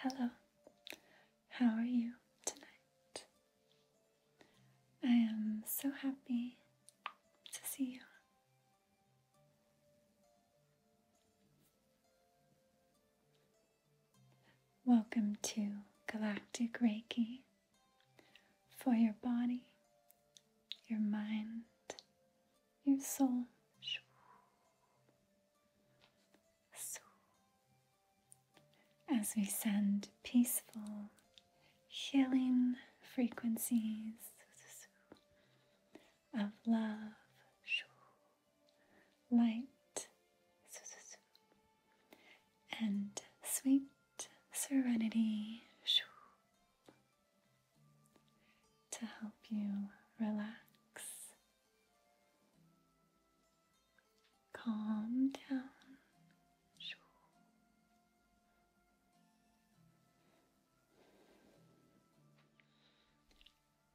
Hello, how are you tonight? I am so happy to see you. Welcome to Galactic Reiki for your body, your mind, your soul as we send peaceful, healing frequencies of love, light, and sweet serenity to help you relax Calm down.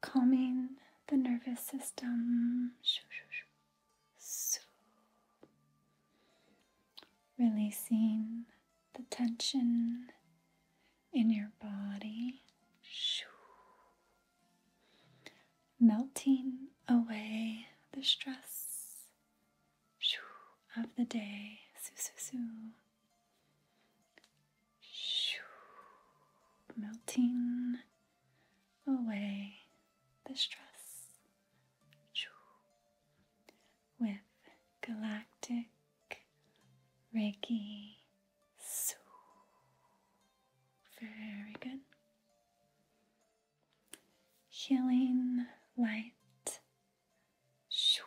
Calming the nervous system. Releasing the tension in your body melting away the stress of the day. su su su. Melting away the stress with galactic Ricky. So very good. Healing light. Shoo.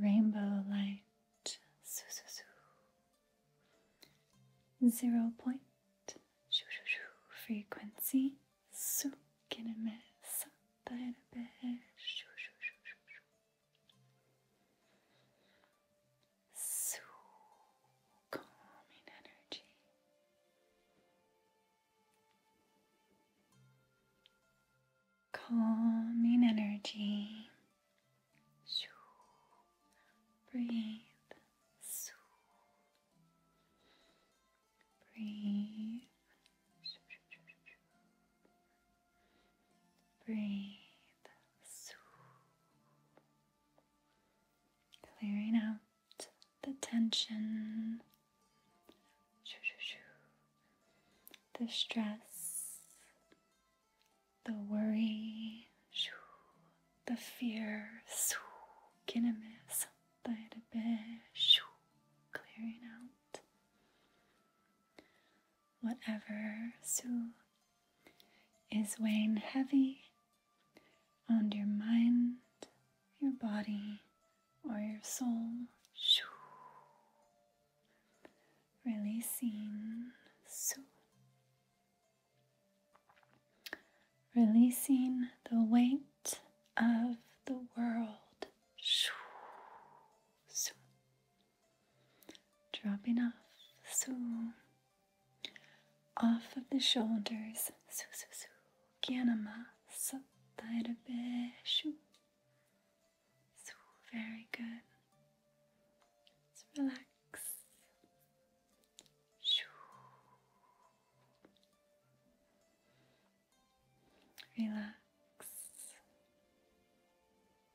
Rainbow light. Soo, soo, soo. Zero point. Shoo, shoo, shoo. Frequency. Su kineme satairabe. Shoo, shoo, shoo, shoo, shoo. So calming energy. Calming energy. Shoo. Breathe. Shoo. Breathe. Shoo, shoo, shoo, shoo. Breathe. Clearing out the tension, the stress, the worry, the fear. Clearing out whatever soul is weighing heavy on your mind, your body, or your soul. Releasing, releasing the weight of the world dropping off, so off of the shoulders, so so so, ganama, so shu, su, very good. Let's relax, shoo. Relax.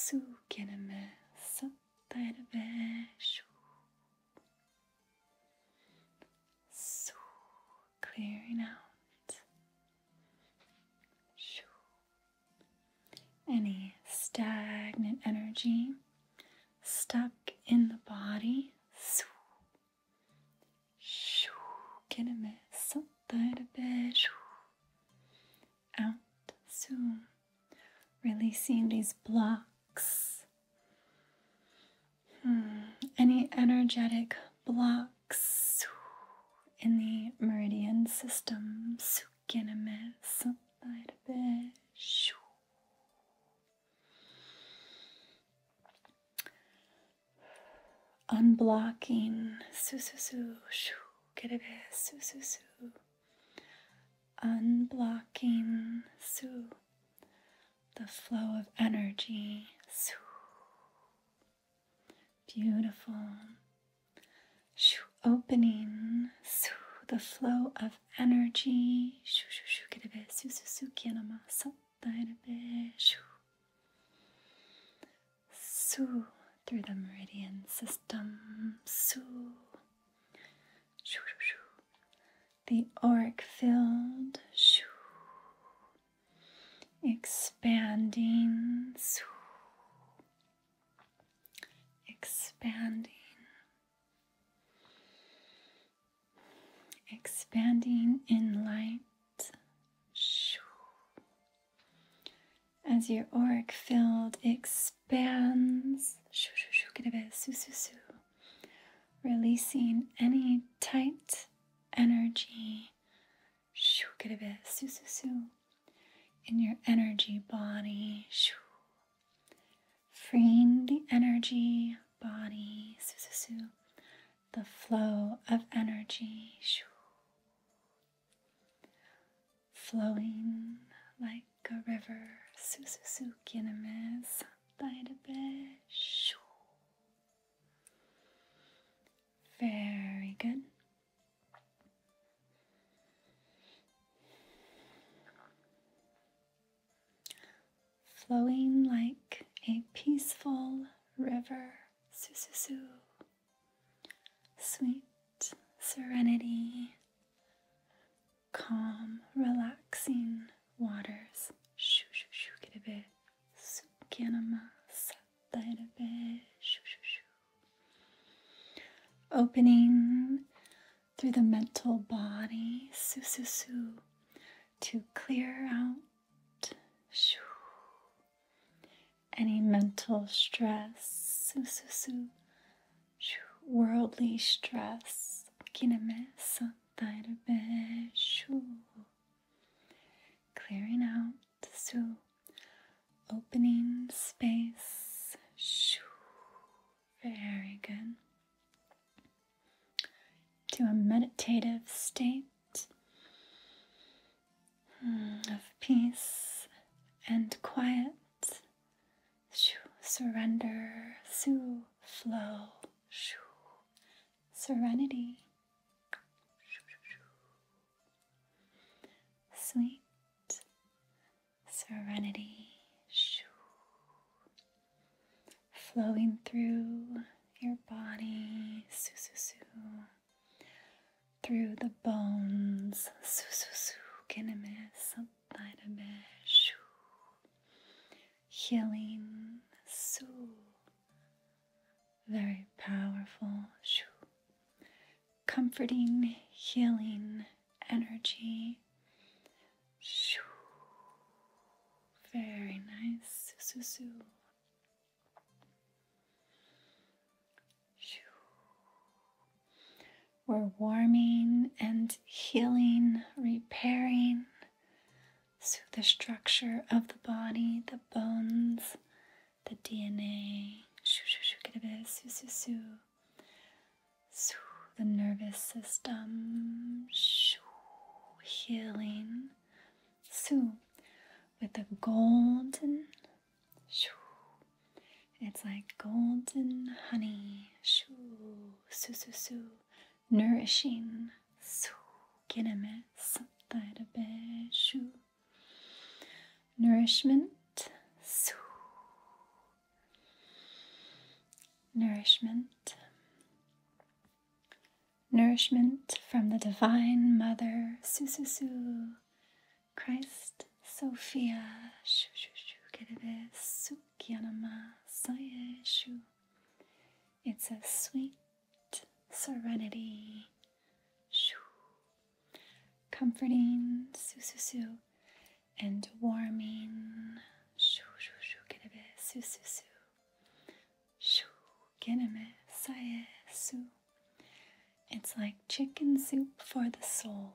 Su kelime sattar ve shu. Su, clearing out. Shu. Any stagnant energy stuck in the body out soon. Releasing these blocks. Hmm, any energetic blocks in the meridian system. Unblocking. Su su su. Shoo. Get it. Su su su unblocking soo the flow of energy soo beautiful shoo opening soo the flow of energy shoo shoo shoo kirebe su su su kinama so shoo soo through the meridian system soo. The auric field expanding, expanding, expanding in light. As your auric field expands. Bands, shoo, shoo, shoo, get a bit, soo, soo, releasing any tight energy, shoo, get a bit, soo, soo, in your energy body, shoo. freeing the energy body, soo, soo, the flow of energy. Shoo flowing like a river. Sususukinamiz by the beach. Very good. Flowing like a peaceful river. Sususu. Sweet serenity calm, relaxing waters. Shoo, shoo, shoo, get a bit. Shoo shoo shoo. Opening through the mental body, su, su, su, to clear out shoo, any mental stress, su, su, su, worldly stress mess que na mesa clearing out so opening space very good to a meditative state hmm, of peace and quiet shoo, surrender, su, flow, shoo, serenity, shoo, sweet, serenity, shoo, flowing through your body, su, su, su, through the bones, su, su, su, can to miss light Healing, so very powerful, comforting, healing energy. Very nice, Susu. We're warming and healing, repairing through the structure of the body, the bones, the DNA. The nervous system. Healing. With the golden it's like golden honey, shoo, su su su, nourishing, su, giname, be, shu. Nourishment, su. Nourishment. Nourishment from the Divine Mother, su su su, Christ, Sophia, shoo shoo shoo, giname, su. Gyanamasyeshu. It's a sweet serenity. Shoo. Comforting, sususu, and warming. Shoo, shoo, shoo, kinebe, sususu. Shoo, It's like chicken soup for the soul.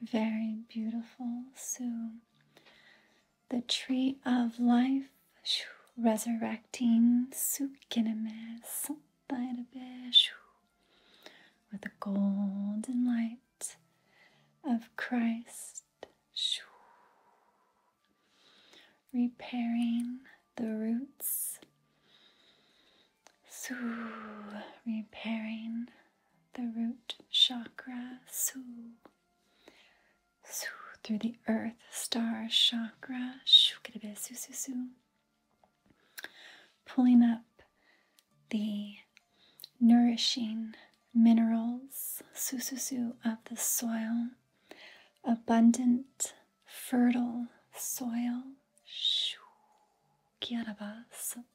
Very beautiful. So, the tree of life, resurrecting Sukiname with the golden light of Christ, repairing the roots so, repairing the root chakra. So, so through the earth star chakra. Su, su, su. Pulling up the nourishing minerals su, su, su, of the soil, abundant, fertile soil. Shoo,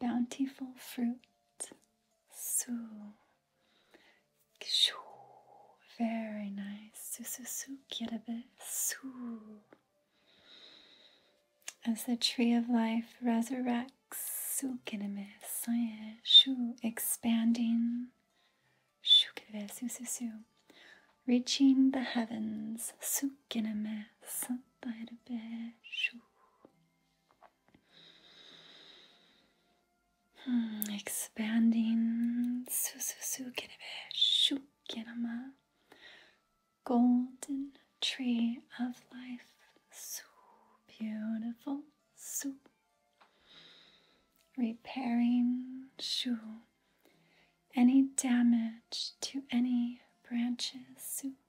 bountiful fruit. Su. Shoo. Very nice. Su, su, su. Get a bit. Su. As the tree of life resurrects, su, kineme, saye, shu, expanding, shu, kineme, su, su, su. Reaching the heavens, su, kineme, santayrabe, Hmm, expanding su su su, Golden Tree of Life. su, beautiful. su, repairing shu any damage to any branches. Su.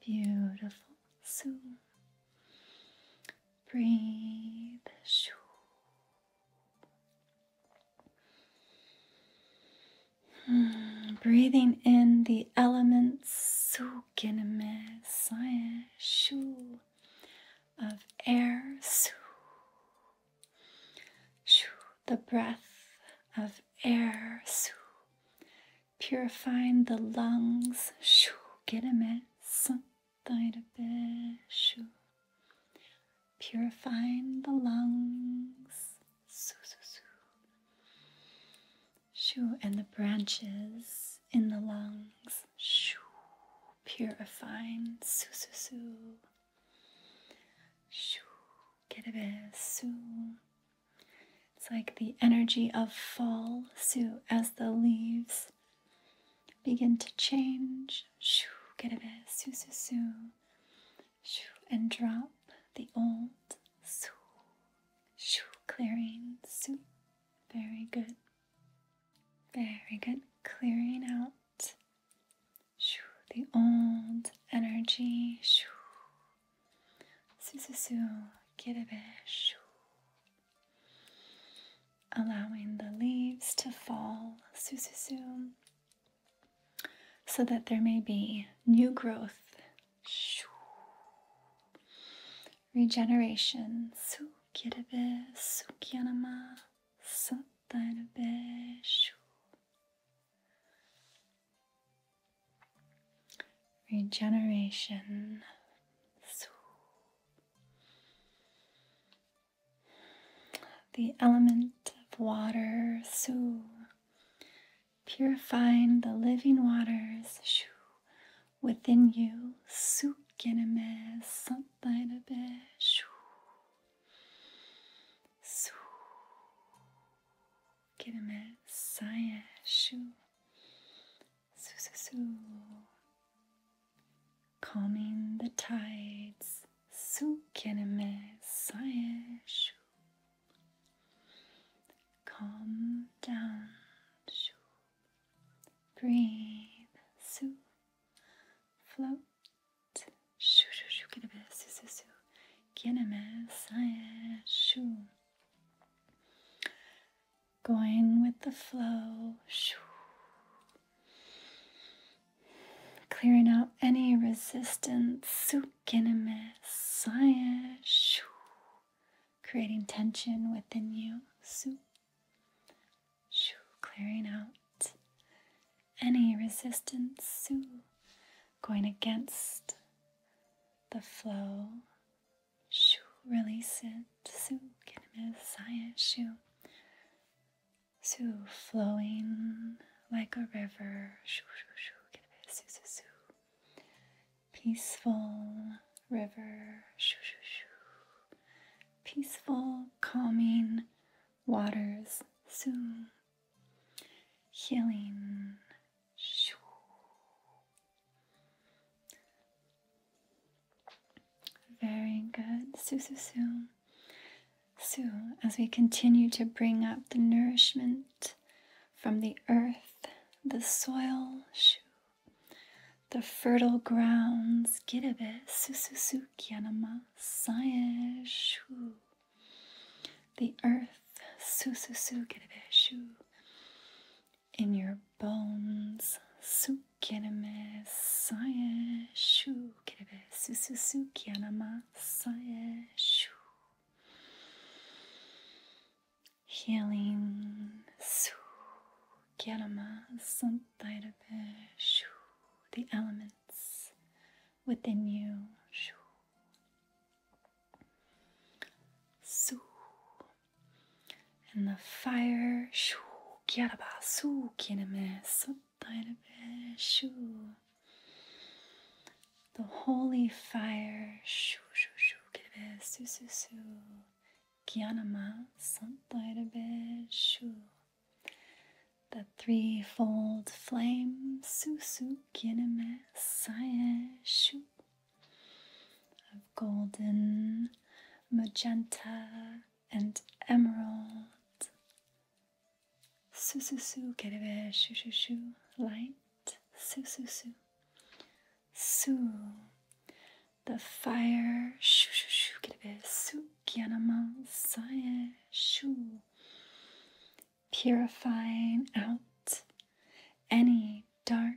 Beautiful. Soon. Breathe. Shoo. Hmm, breathing in the elements of air. The breath of air purifying the lungs. Shoo, get a mess. Shoo. Purifying the lungs. su su su, Shoo, and the branches in the lungs. Shoo, purifying. su su su, Shoo, get a bit. Shoo. It's like the energy of fall, so as the leaves begin to change, shoo, get a bit, su eh? su su, shoo, and drop the old, su, shoo, clearing, su. Very good. Very good. Clearing out shoo, the old energy shoo, Susu su Sususu shu, Allowing the leaves to fall su, So that there may be new growth. Shoo. Regeneration. Sukirabe Sukyanama Santanabe shu regeneration. The element of water, su, purifying the living waters, shu, within you, su, geneme, santainabe, shu, su, Girme saye shu. Su su su. Calming the tides. Su girme saye shu. Calm down. Shu. Breathe. Su. Float. Shu shu shu. Girme su su su. Girme saye shu. Going with the flow, clearing out any resistance, creating tension within you, clearing out any resistance, going against the flow. Shoo, release it. Su, kinemiz, sayet, shoo. Su, flowing like a river. Shoo, shoo, shoo, kinemiz, su, su, su. Peaceful river. Shoo, shoo, shoo. Peaceful, calming waters. Su. Healing Shoo. Very good. Su, su, su. Su, as we continue to bring up the nourishment from the earth, the soil, shoo, the fertile grounds, girabe, su, su, su, kyanama, saye, shoo. The earth, su su su shu in your bones su kineme saye shu kirebe su su su kianama saye shu healing su kianama santairabe the elements within you Su. And the fire, shoo, kiaraba, su, kineme, sotairebe, shoo. The holy fire, shoo, shoo, shoo, kirebe, su, su, su, kianama, sotairebe, shoo. The threefold flame, su, su, kineme, saye, shoo of golden, magenta, and emerald. Sususu kerebe shoo light. Sususu. Su. The fire. Shoo shoo shoo kerebe eh? su kyanaman sae eh? shoo. Purifying out any dark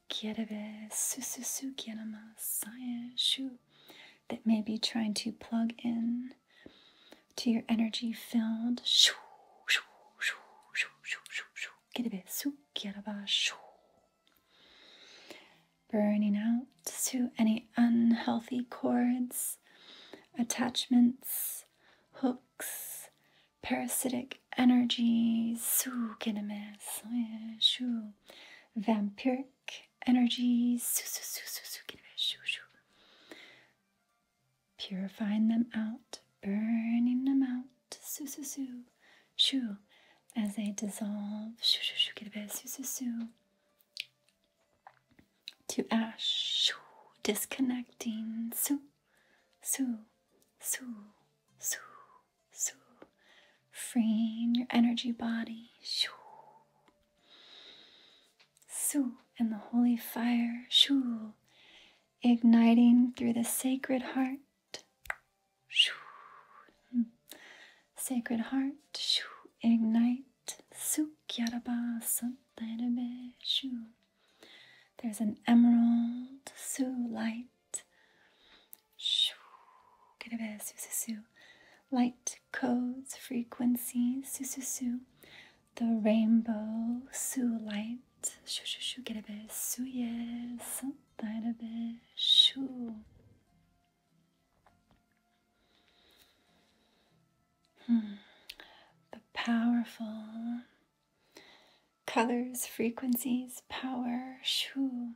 kirebe sususu kirama shu that may be trying to plug in to your energy field. Shoo, shoo, shoo, shoo, shoo, shoo, shoo. Kirebe su kiraba shoo. Burning out to any unhealthy cords, attachments, hooks, parasitic energies. Su kirame shu vampiric energies, purifying them out, burning them out, as they dissolve to ash, disconnecting, su, su, su, su, Shoo. Freeing your energy body. Shoo. Soo And the holy fire. Shoo. Igniting through the sacred heart. Shoo. Sacred heart. Shoo. Ignite. Sukyaraba Santairabe. Shoo. There's an emerald. soo light Kerebe sususu. Light codes, frequencies, sususu. The rainbow, su light, shushu kerebe suye, santarebe shu. The powerful colors, frequencies, power, shoo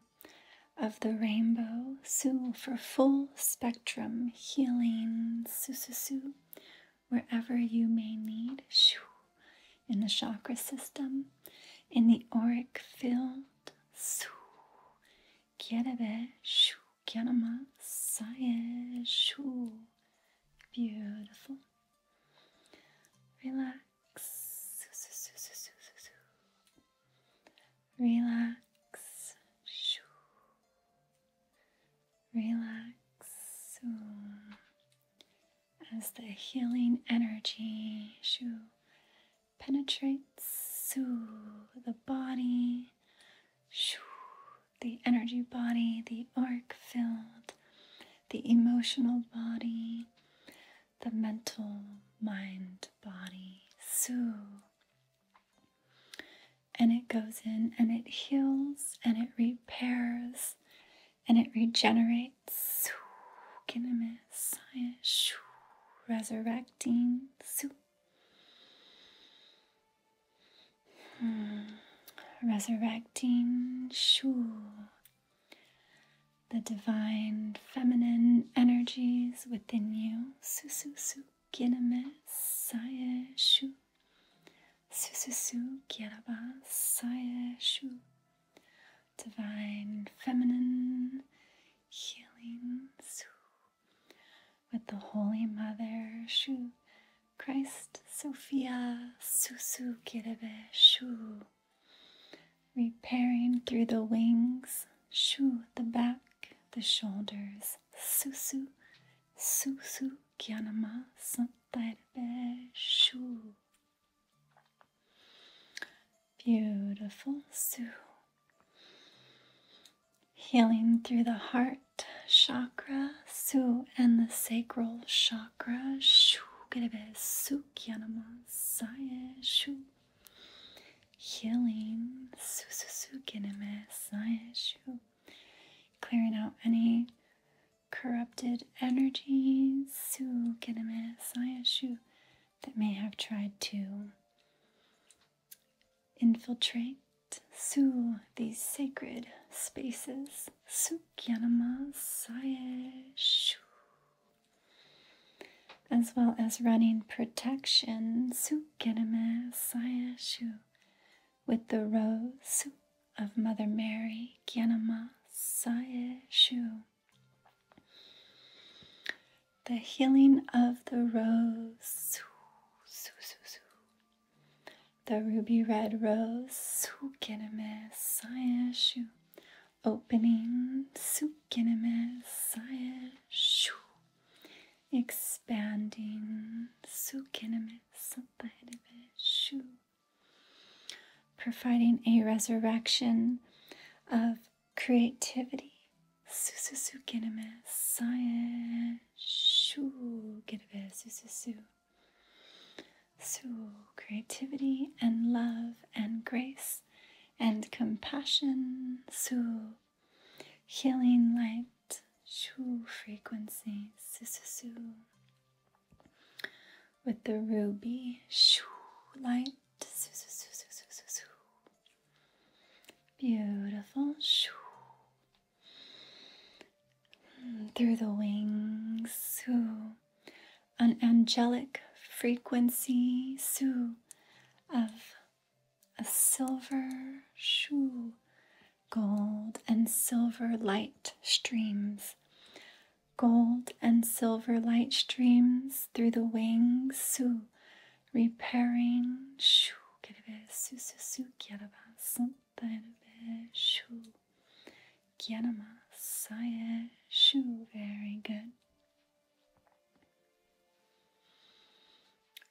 of the rainbow. Sue for full spectrum healing. Sususu, wherever you may need. Shoo, in the chakra system, in the auric field. Su. Kierebe, shoo, kyanama, saye, shoo. Beautiful. Relax. Relax. Shoo. Relax. So, as the healing energy shoo, penetrates shoo, the body, shoo, the energy body, the arc filled, the emotional body, the mental mind body. Su. And it goes in and it heals and it repairs and it regenerates. Su. Resurrecting. Su. Hmm. Resurrecting. shoo the divine feminine energies within you. Sususu kiname saye shu. Sususu kiraba saye shu. Divine feminine healing With the Holy Mother shu. Christ Sophia Susu kirebe shu repairing through the wings, shu the back, the shoulders, susu, susu kyanama santarbe shu. Beautiful su. Healing through the heart chakra, su, and the sacral chakra, shu, get a bit kyanama saye shu healing, su clearing out any corrupted energies su that may have tried to infiltrate su these sacred spaces. su Sukyanama Sayeshu as well as running protection with the rose of Mother Mary the healing of the rose the ruby red rose opening sukeneme sae shu. Expanding sukeneme satareve shu. Providing a resurrection of creativity. Sususu keneme sae shu gereve sususu. So, creativity and love and grace and compassion, su, healing light, shu frequency, sisu, with the ruby, shu light, sisu, sisu, sisu, beautiful, shu. Mm, through the wings, su, an angelic frequency, su, of a silver shoe. Gold and silver light streams. Gold and silver light streams through the wings, su, repairing, shu, su, su, su, shu, shu, very good.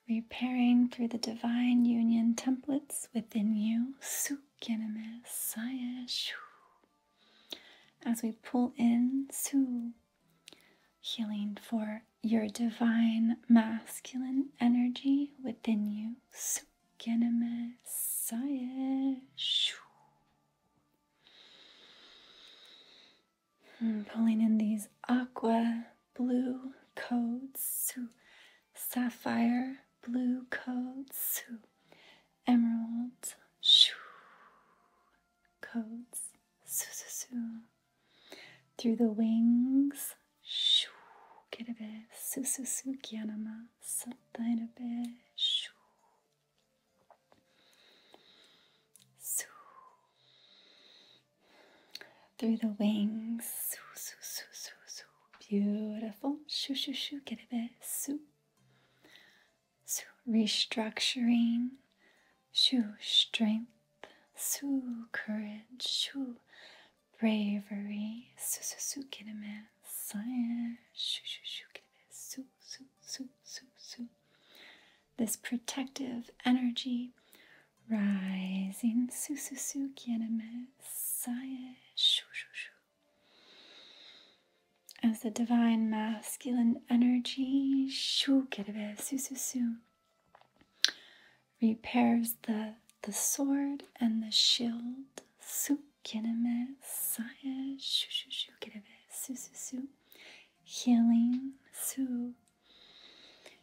Repairing through the divine union templates within you. As we pull in, su, healing for your divine masculine energy within you. Hmm, pulling in these aqua blue codes, sapphire blue codes, emerald shoo, codes through the wings. Shoo, kirebe, sususu, kyanama, satainabe, shoo. Soo. Through the wings. Soo, soo, soo, soo, soo. Beautiful. Shoo, shoo, shoo. Get a bit. Soo. Soo. Restructuring. Shoo. Strength. Soo. Courage. Shoo. Bravery. Soo, soo, soo. Get a bit. Science. Shoo, shoo, shoo. Get a bit. Soo, soo, soo, soo, soo this protective energy rising sususu kieneme sae shu shu shu as the divine masculine energy shu kerebe sususu repairs the the sword and the shield su kieneme sae shu shu shu kerebe sususu healing su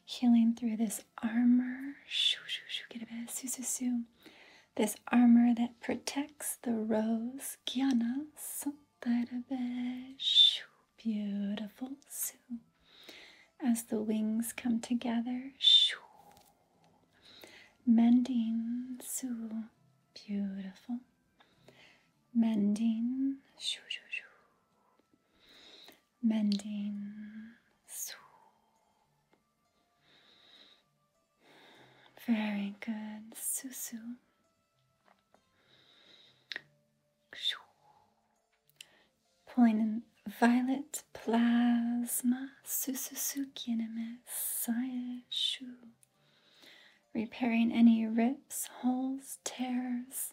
Healing through this armor. Shoo, shoo, shoo, get a bit of soo, soo, This armor that protects the rose. guiana, Gyanas. Shoo, beautiful. Shoo. As the wings come together. Shoo. Mending. Shoo. Beautiful. Mending. Shoo, shoo, shoo mending, very good, susu. Pulling in violet plasma, Susu Repairing any rips, holes, tears,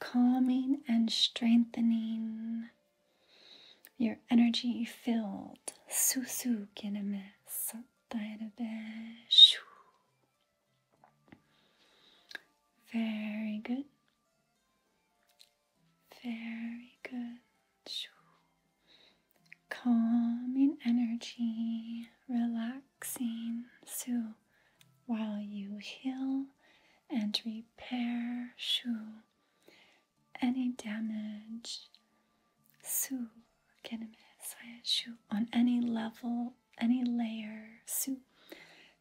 calming and strengthening. Your energy filled. Susu kiname sattairabe shu. Very good. Very good. Shoo. Calming energy, relaxing. So while you heal and repair, shoo any damage su shu on any level, any layer su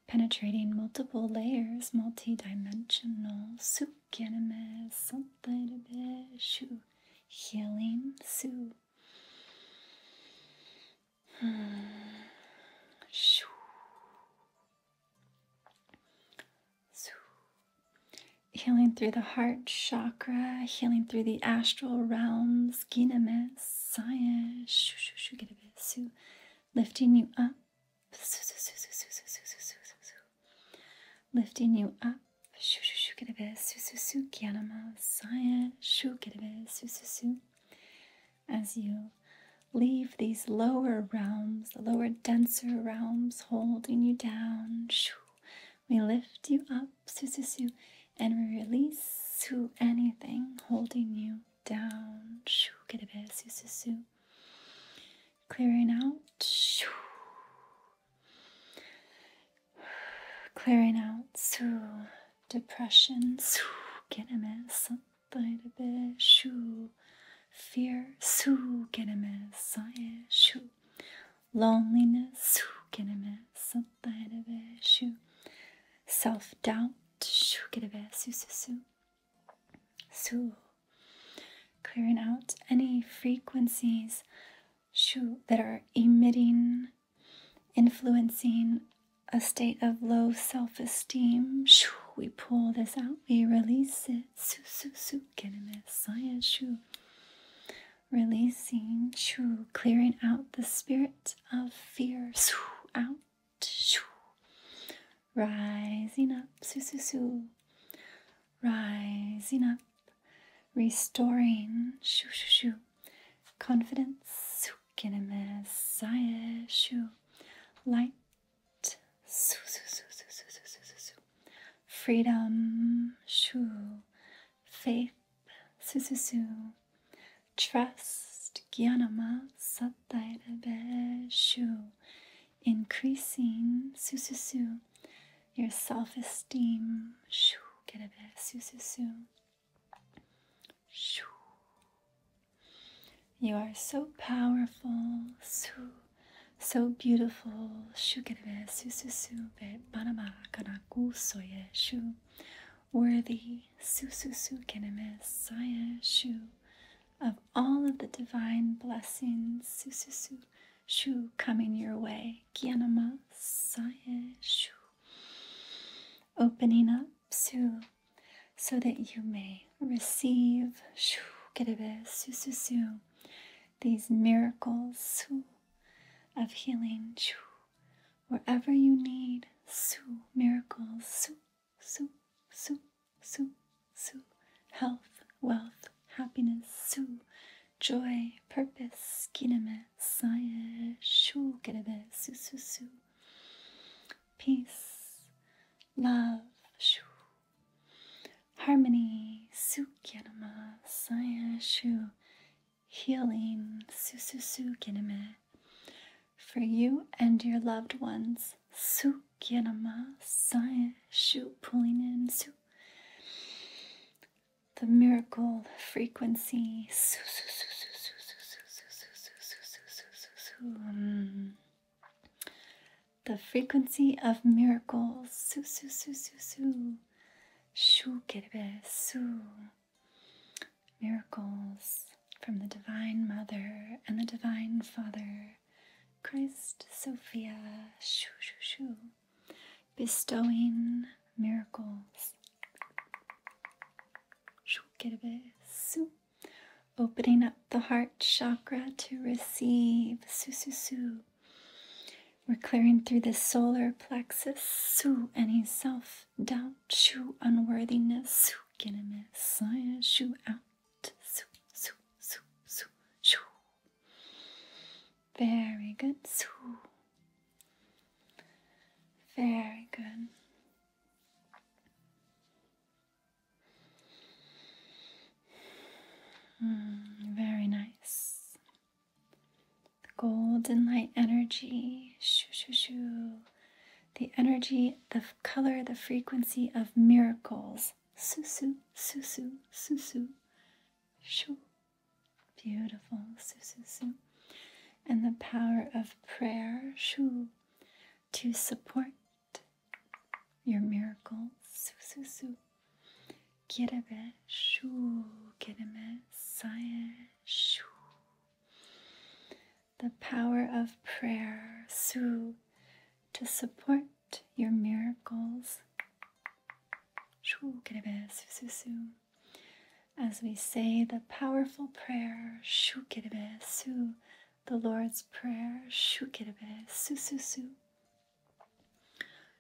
penetrating multiple layers, multi-dimensional su shu healing su healing through the heart chakra, healing through the astral realms, lifting you up, lifting you up. As you leave these lower realms, the lower, denser realms holding you down. We lift you up, and we release anything holding you down. Get a bit Clearing out. Clearing out. Depression. Get a mess. Fear su ah, Loneliness su Self doubt su Clearing out any frequencies that are emitting, influencing a state of low self esteem. we pull this out, we release it it. Su su su getting it. Saya shu. Releasing shu. Clearing out the spirit of fear. Su out. Shoo. Rising up. Su su su. Rising up. Restoring shu shu shu. Confidence. Su getting it. Saya shu. Light. Su, su, su, su, su, su, su, su, su. Freedom, shu. Faith, su, su, su. Trust, gyanama, satyabe, shu. Increasing, su, su, su. Your self esteem, shu, get a bit, su, su, su. Shoo. You are so powerful, so, so beautiful. Shukerebe sususu be banama kanaku soye shu. Worthy sususu keneme saye shu. Of all of the divine blessings, sususu shu coming your way. Kyanama saye Opening up, su so that you may receive these miracles of healing wherever you need su, miracles su su su su health wealth happiness su, joy purpose peace love Harmony, Sukinama, Sayashu, healing, Sususu Kiname, for you and your loved ones. Sukinama, Sayashu, pulling in Su. The miracle frequency. Su, su, su, su, su, su, su, su, su, su, su, su, the frequency of miracles. Su, su, su, su, Shu kerebe, Miracles from the Divine Mother and the Divine Father, Christ Sophia, shoo, shoo, shoo, bestowing miracles. Shoo, kerebe, opening up the heart chakra to receive. Su, We're clearing through the solar plexus. Su, any self doubt, shu, unworthiness, su, ginimis, shu, out. Su, su, su, su, Very good. Su. Very good. Mm, very nice. The golden light energy. Shoo, shoo, shoo. The energy, the color, the frequency of miracles. Susu, susu, susu. Shoo. Beautiful. Susu, susu. And the power of prayer. Shoo. To support, your miracles. Su su su. Kirebe shu The power of prayer, su, to support your miracles. Shu kirebe su su su. As we say the powerful prayer, shu the Lord's prayer, shu kirebe su su su.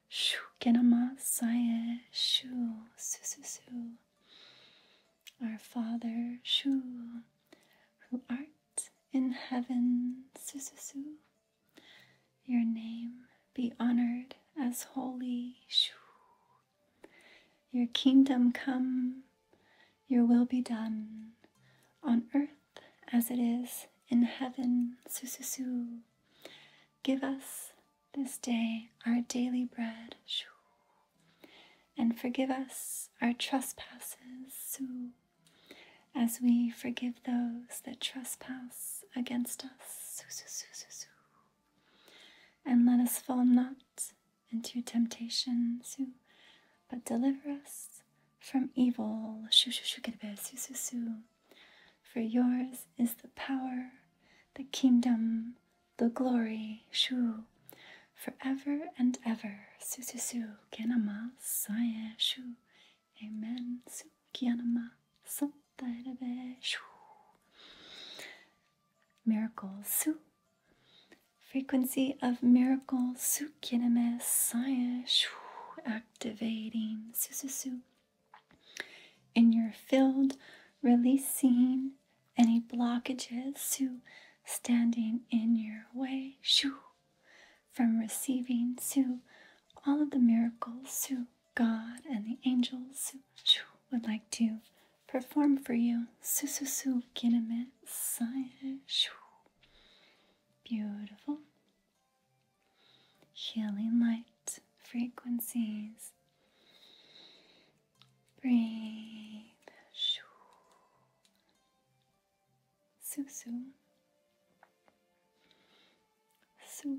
Shu kenamasaye shu su su susu. Our Father shu, who art in heaven susu, susu. Your name be honored as holy shu. Your kingdom come, your will be done on earth as it is in heaven, Sususu. Give us this day our daily bread, Shoo. and forgive us our trespasses, Su, as we forgive those that trespass against us, Sususu. And let us fall not into temptation, Su, but deliver us from evil. For yours is the power, the kingdom, the glory, shu, forever and ever. Sususu kenama saye Amen. Su kianama shu. Miracle su. Frequency of miracles. su kiname activating, sususu. In your field, releasing any blockages, su, standing in your way, shoo, from receiving, su, all of the miracles, su, God and the angels, su, would like to perform for you, sususu, kiname, sae, shu. Beautiful healing light frequencies. Breathe. Shoo. Su su. Su.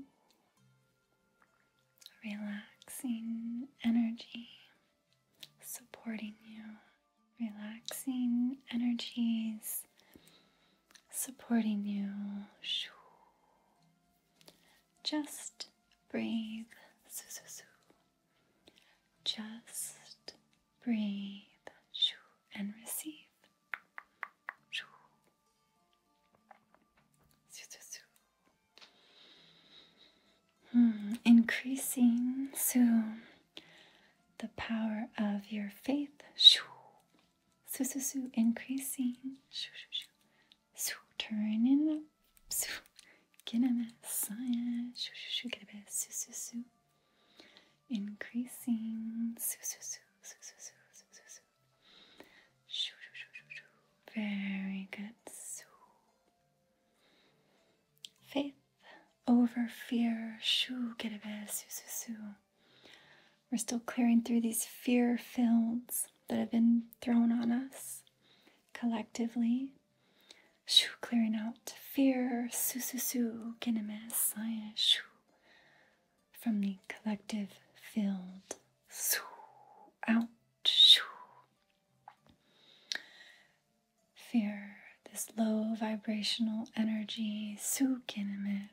Relaxing energy supporting you. Relaxing energies supporting you. Just breathe. Just breathe and receive. Hmm. increasing so the power of your faith Su su su increasing. Shoo shoo shoo. Su turning up. Su get a mess. Shoo shoo shoo get a bit. Su su su. Increasing. Su su su su su su su su su. Shoo shoo shoo shoo shoo. Very good. Su. Faith over fear. Shoo get a bit. Su su su. We're still clearing through these fear fields that have been thrown on us collectively. Shoo, clearing out fear, sususu, kinemes, shoo, from the collective field. Shoo, out, shoo. Fear, this low vibrational energy, su kinemes,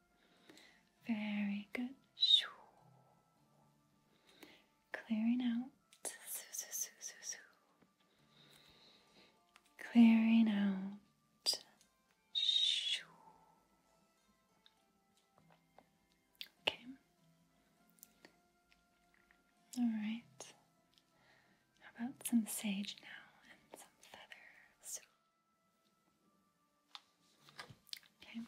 Very good. Shoo. Clearing out. Clearing out. Shoo. Okay. All right. How about some sage now and some feathers. Okay.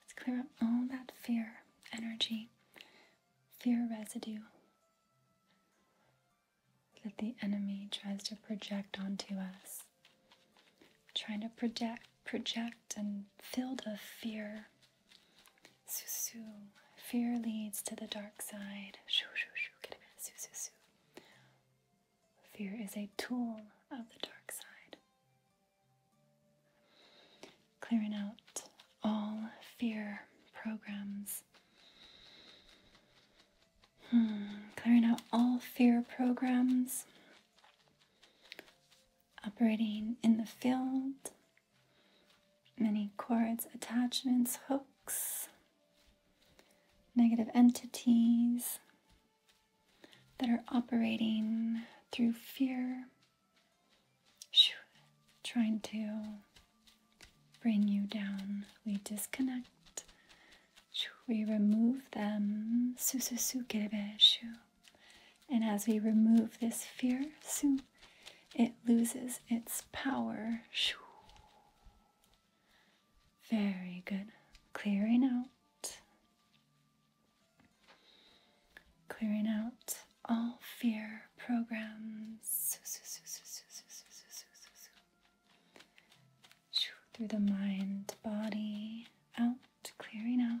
Let's clear up all that fear energy, fear residue that the enemy tries to project onto us. Trying to project, project and filled of fear. Susu. Fear leads to the dark side. Shoo, shoo, shoo. Get a bit. Su, su, Fear is a tool of the dark side. Clearing out all fear programs. Hmm, clearing out all fear programs. Operating in the field. Many cords, attachments, hooks, negative entities, that are operating through fear, trying to bring you down. We disconnect. We remove them. And as we remove this fear, it loses its power. Very good. Clearing out. Clearing out all fear programs through the mind, body, out, clearing out.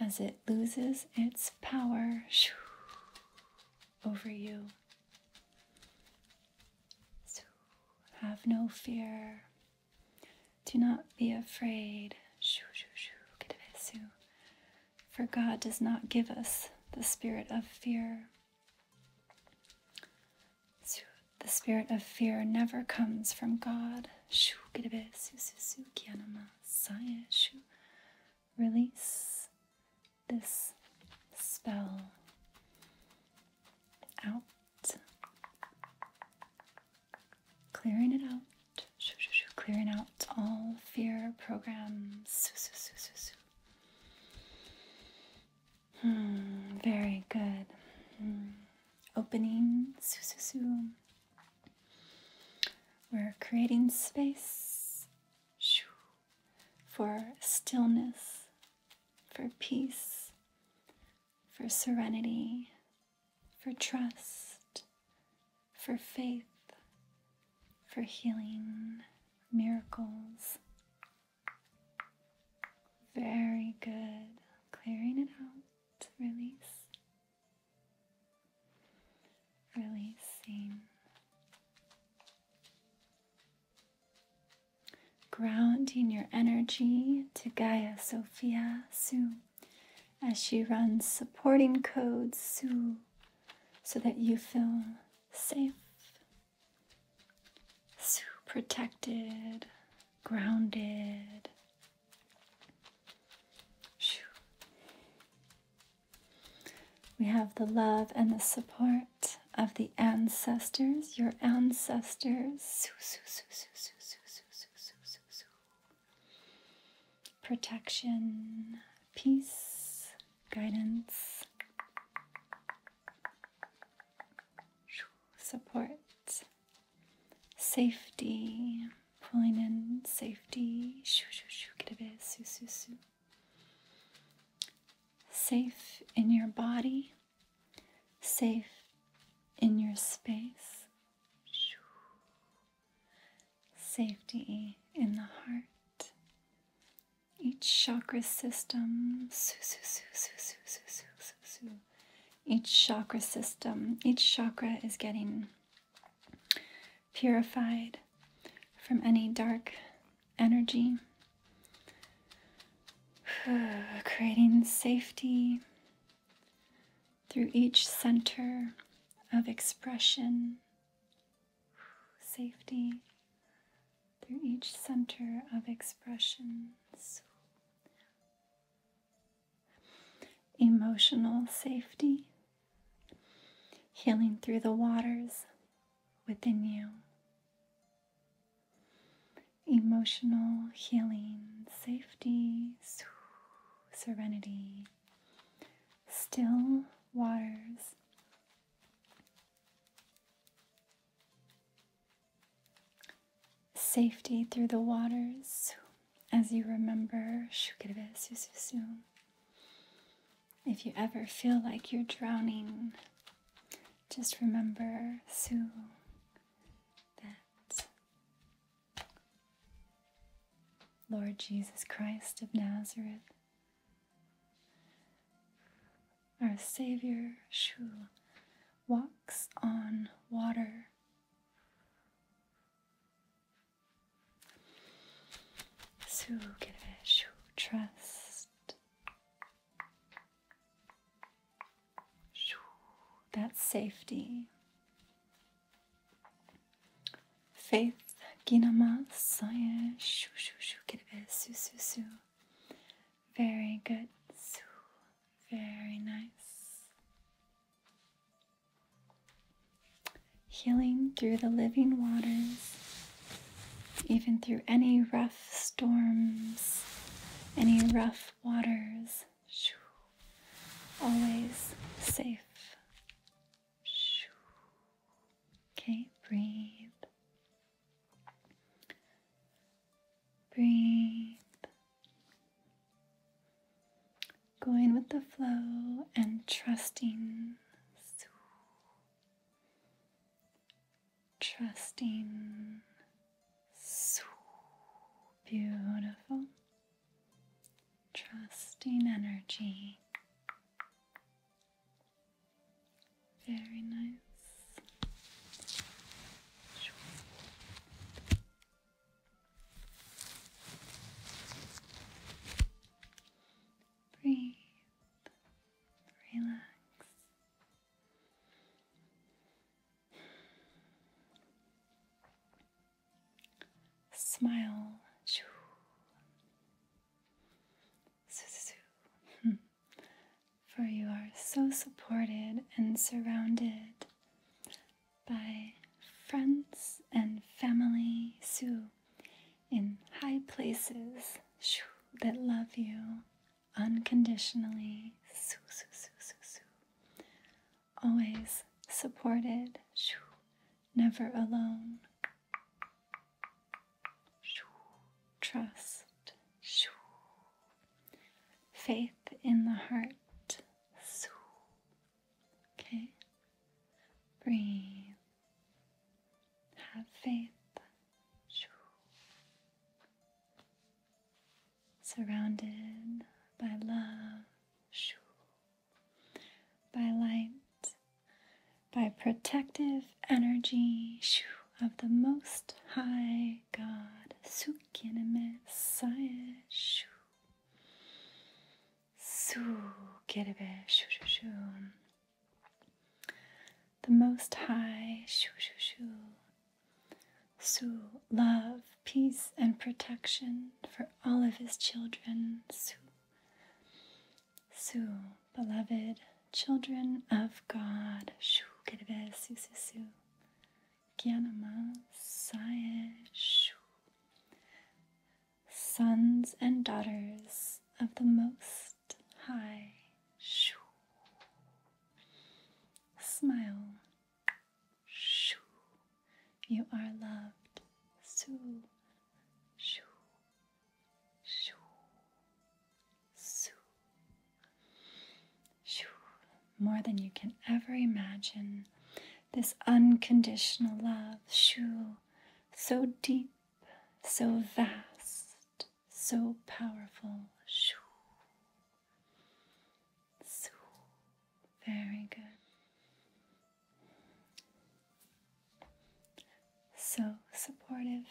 as it loses its power over you. So have no fear. Do not be afraid. For God does not give us the spirit of fear. The spirit of fear never comes from God. Sayashu release this spell out, clearing it out. Clearing out all fear programs. Hmm, very good. Hmm. Opening. We're creating space for stillness, for peace, for serenity, for trust, for faith, for healing, miracles. Very good. Clearing it out. Release. Releasing. Grounding your energy to Gaia Sophia Su as she runs supporting codes Su so that you feel safe, Su protected, grounded, we have the love and the support of the ancestors, your ancestors. Protection, peace, guidance, support, safety pulling in safety. Shoo, shoo, shoo, get a bit. Soo, soo, soo. Safe in your body, safe in your space. Shoo. Safety in the heart. Each chakra system, soo, soo, soo, soo, soo, soo, soo, soo, soo. Each chakra system, each chakra is getting purified from any dark energy, creating safety through each center of expression, safety through each center of expression emotional safety, healing through the waters within you. Emotional healing, safety, serenity, still waters. Safety through the waters, as you remember, if you ever feel like you're drowning, just remember, Su, that Lord Jesus Christ of Nazareth, our Savior, Shu, walks on water. So get a shoo, trust. Shoo, that's safety. Faith, ginama, science. shoo, shoo, shoo, get a su, su, su. Very good, su. Very nice. Healing through the living waters, even through any rough storms, any rough waters. Always safe. Okay, breathe. Breathe going with the flow and trusting, trusting. Beautiful, trusting energy. Very nice. Breathe, relax. Smile. For you are so supported and surrounded by friends and family Sue in high places shoo, that love you unconditionally. Sue, Sue, Sue, Sue, Sue. Always supported, shoo, never alone. Shoo, trust, faith in the heart. Sue, Okay? Breathe. Have faith. Surrounded by love, by light, by protective energy of the Most High God. The Most High, shoo, shoo, shoo. Su, love, peace, and protection for all of His children. Su, Su, beloved children of God. Shoo, kerebe, su, su, su. Gyanama, saye, shoo sons and daughters of the Most High. Shoo. Smile. Shoo. You are loved. shoo! Shoo. Shoo. Sue. Shoo. More than you can ever imagine. This unconditional love. Shoo so deep, so vast, so powerful. Shoo. So very good. So supportive.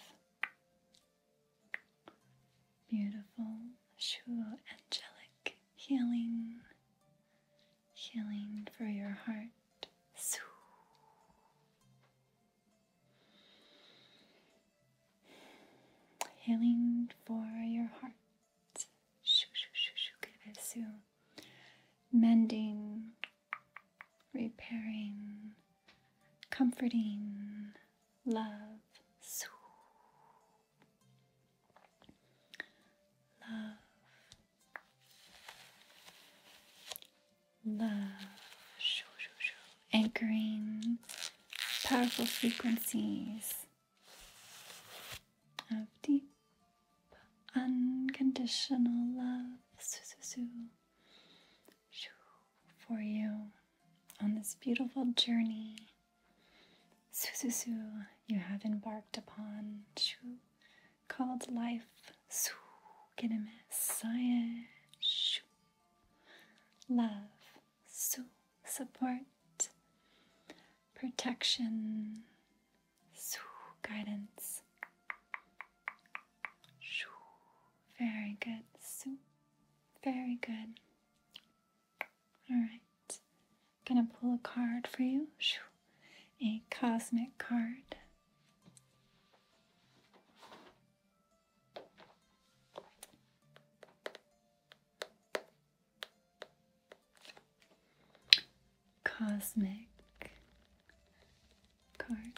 Beautiful, shoo, angelic healing healing for your heart. Healing for your heart. Shoo, shoo, shoo, shoo, Mending, repairing, comforting, love. love, Love, anchoring powerful frequencies of deep, unconditional love su, su, su, for you on this beautiful journey su, su, su, you have embarked upon. Shoo, called life. science, Love. Support. Protection. Guidance. Very good. Very good. Alright. Gonna pull a card for you. A cosmic card. Cosmic cards.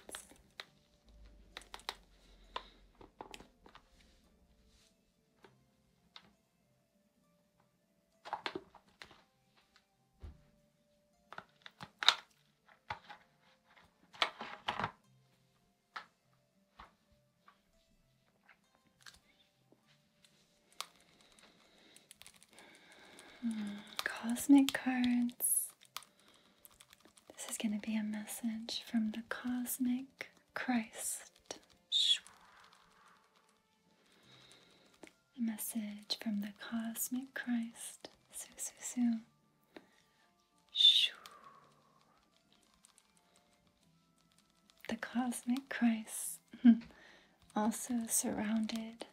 Cosmic cards. This is going to be a message from the cosmic Christ a message from the cosmic Christ. So, so, so. Shoo. The cosmic Christ, hmm, also surrounded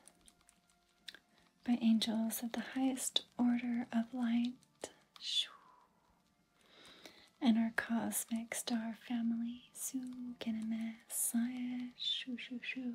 by angels of the highest order of light, Shoo. and our cosmic star family, su Saya, shoo, shoo,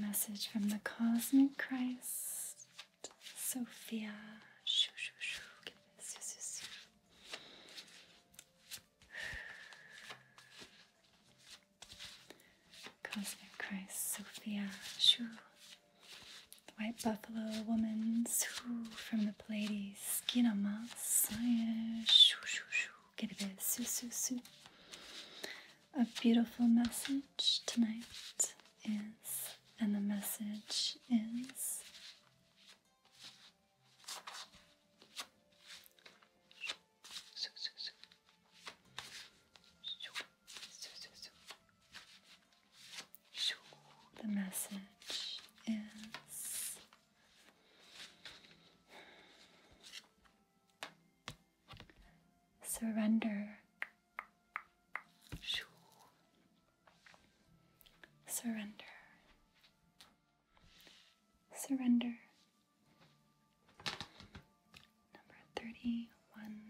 message from the Cosmic Christ, Sophia. Shoo, shoo, shoo. get this. Shoo, shoo, shoo. Cosmic Christ, Sophia. Shoo. The White Buffalo Woman's Shoo. From the Pleiades, Skinama. Shoo, shoo, shoo. Get a bit. Shoo, shoo, a beautiful message tonight is, and the message is the message is surrender, surrender, surrender. Number thirty one.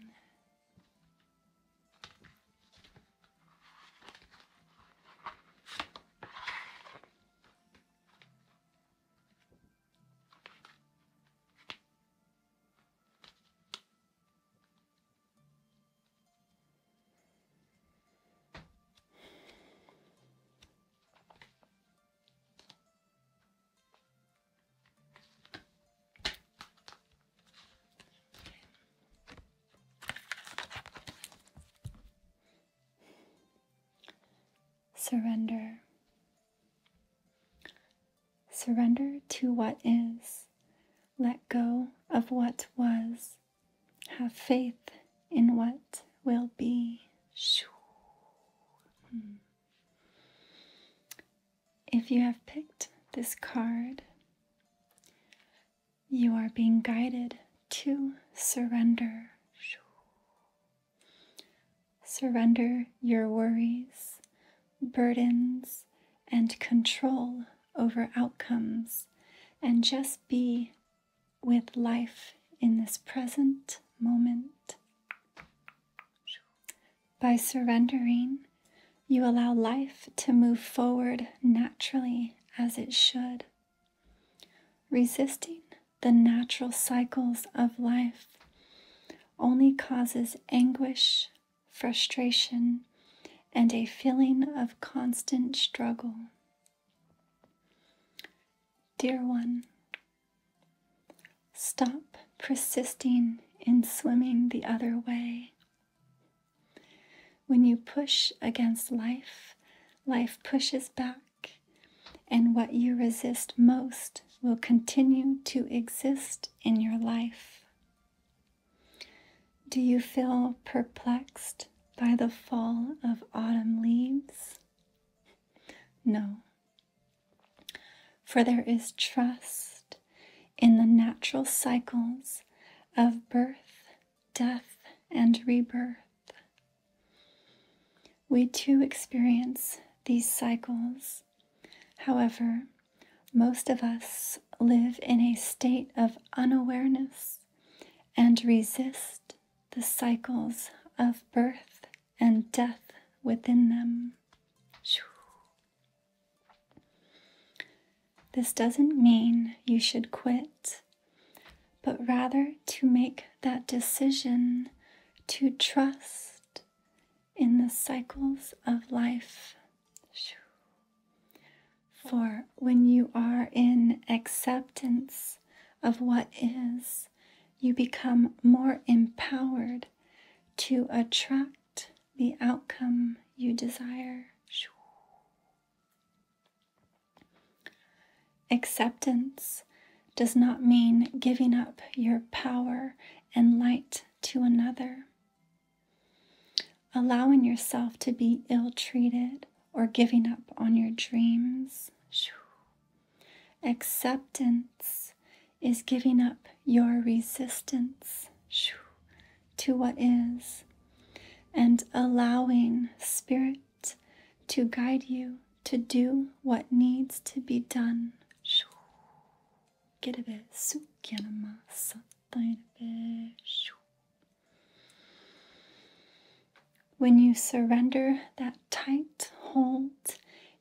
Surrender Surrender to what is. Let go of what was. Have faith in what will be. Hmm. If you have picked this card, you are being guided to surrender. Surrender your worries, burdens, and control over outcomes, and just be with life in this present moment. By surrendering, you allow life to move forward naturally as it should. Resisting the natural cycles of life only causes anguish, frustration, and a feeling of constant struggle. Dear one, stop persisting in swimming the other way. When you push against life, life pushes back, and what you resist most will continue to exist in your life. Do you feel perplexed by the fall of autumn leaves? No. For there is trust in the natural cycles of birth, death, and rebirth. We too experience these cycles. However, most of us live in a state of unawareness and resist the cycles of birth and death within them. This doesn't mean you should quit, but rather to make that decision to trust in the cycles of life. For when you are in acceptance of what is, you become more empowered to attract the outcome you desire. Acceptance does not mean giving up your power and light to another. Allowing yourself to be ill treated or giving up on your dreams. Acceptance is giving up your resistance to what is and allowing Spirit to guide you to do what needs to be done get a bit soup yanama a bit when you surrender that tight hold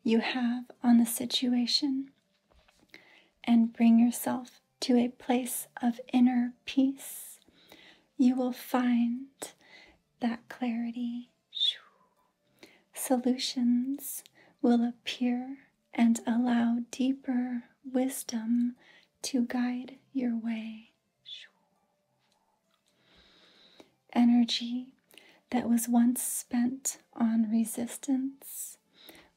you have on the situation and bring yourself to a place of inner peace, you will find that clarity Solutions will appear and allow deeper wisdom to guide your way. Energy that was once spent on resistance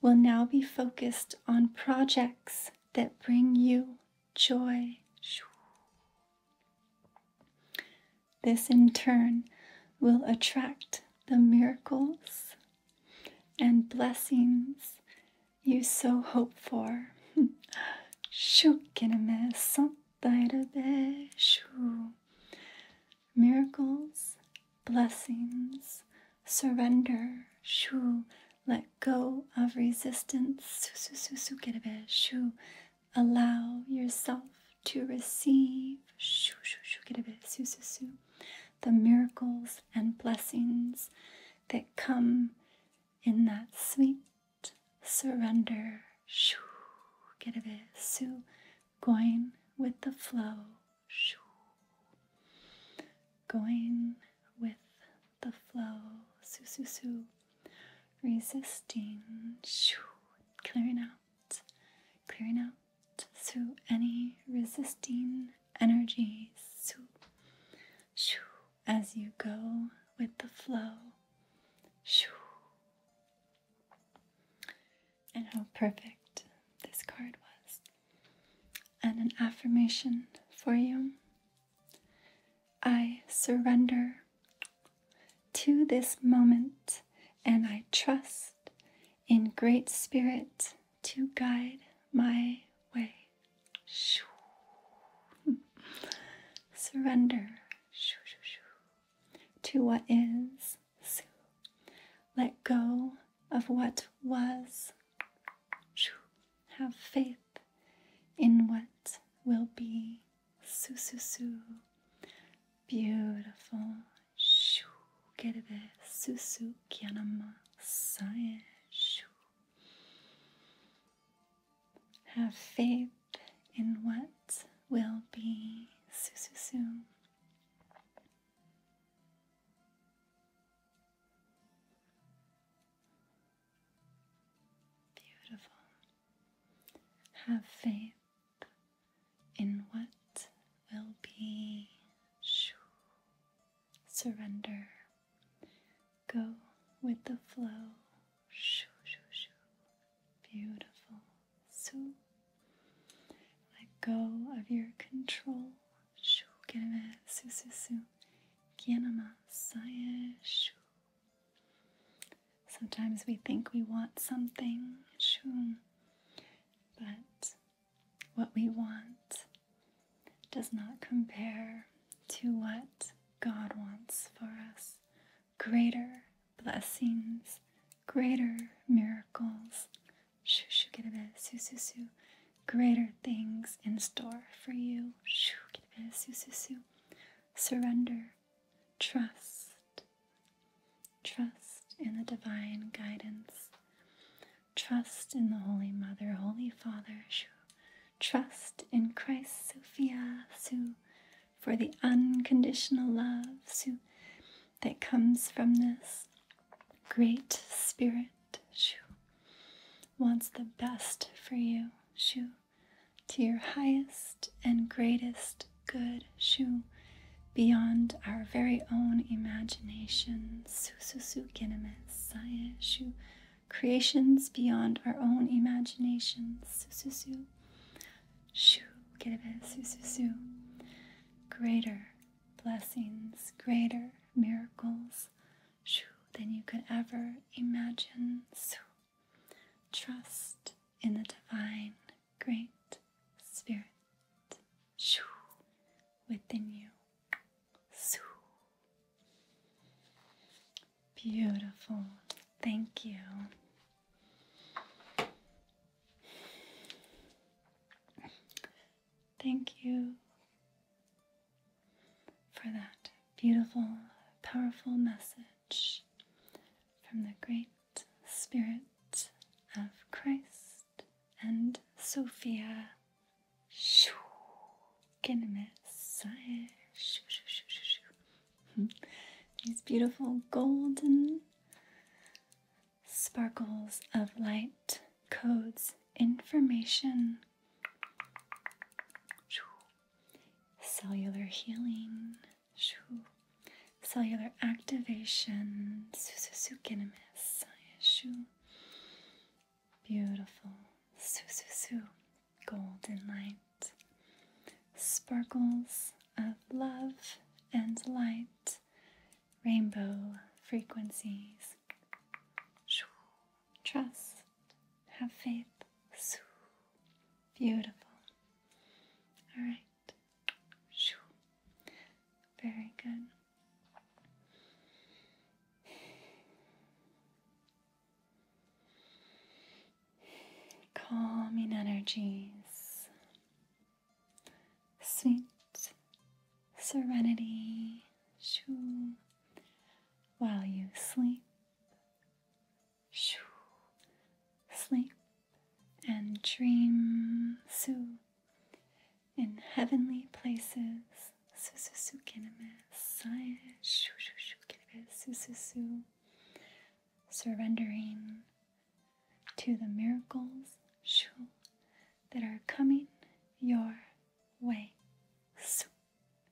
will now be focused on projects that bring you joy. This in turn will attract the miracles and blessings you so hope for. Miracles, blessings, surrender, shu, let go of resistance, shu, allow yourself to receive, shu, shu, shu, shu, shu, shu, shu, shu, shu, the miracles and blessings that come in that sweet surrender. Shoo, get a bit, su, going with the flow. Shoo, going with the flow. Su, su, su. Resisting. Shoo, clearing out, clearing out through any resisting energy as you go with the flow. And how perfect this card was. And an affirmation for you. I surrender to this moment and I trust in Great Spirit to guide my way. Shoo. Surrender shoo, shoo, to what is. Shoo. Let go of what was. Shoo. Have faith in what will be. Su, su, su. Beautiful. Shoo. Kerebe susu kyanama sae. Shoo. Have faith in what will be. Susu Beautiful. Have faith in what will be shoo, surrender. Go with the flow. Shoo, shoo, shoo. Beautiful. Shoo. Let go of your control. Shoo. Keneme su su su. Kienama saye shoo. Sometimes we think we want something. Shoo. But what we want does not compare to what God wants for us. Greater blessings, greater miracles, eh? greater things in store for you. Eh? Surrender, trust, Trust in the divine guidance. Trust in the Holy Mother, Holy Father, Trust in Christ, Sophia, Su, for the unconditional love, Su, that comes from this great spirit, Shu. Wants the best for you, Shu, to your highest and greatest good, Shu, beyond our very own imaginations. Creations beyond our own imaginations. shu Greater blessings, greater miracles than you could ever imagine. Trust in the divine, great spirit within you. Beautiful. Thank you. Thank you for that beautiful, powerful message from the Great Spirit of Christ. Celeste and Sophia hmm. these beautiful golden sparkles of light codes information cellular healing cellular activation Sayashu. Beautiful. Su su su. Golden light. Sparkles of love and light. Rainbow frequencies. Trust. Have faith. Beautiful. All right. Very good. Calming energies, sweet serenity, shoo, while you sleep, shoo, sleep and dream, soo in heavenly places. Surrendering to the miracles that are coming your way.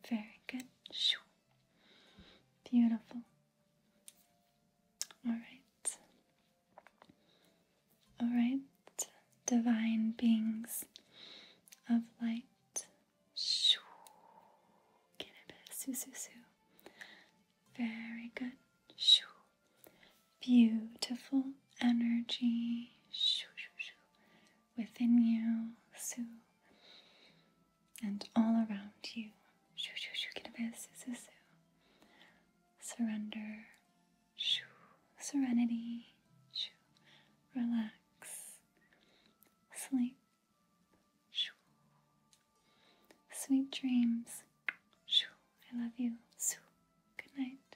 Very good. Beautiful. All right. Alright, divine beings of light. Shoo. Su, su, su. Very good. Shoo. Beautiful energy shoo, shoo, shoo. within you. Su. And all around you. Shoo, shoo, shoo. Surrender shoo, serenity, shoo, relax, sleep, sweet dreams, shoo, I love you, shoo, good night.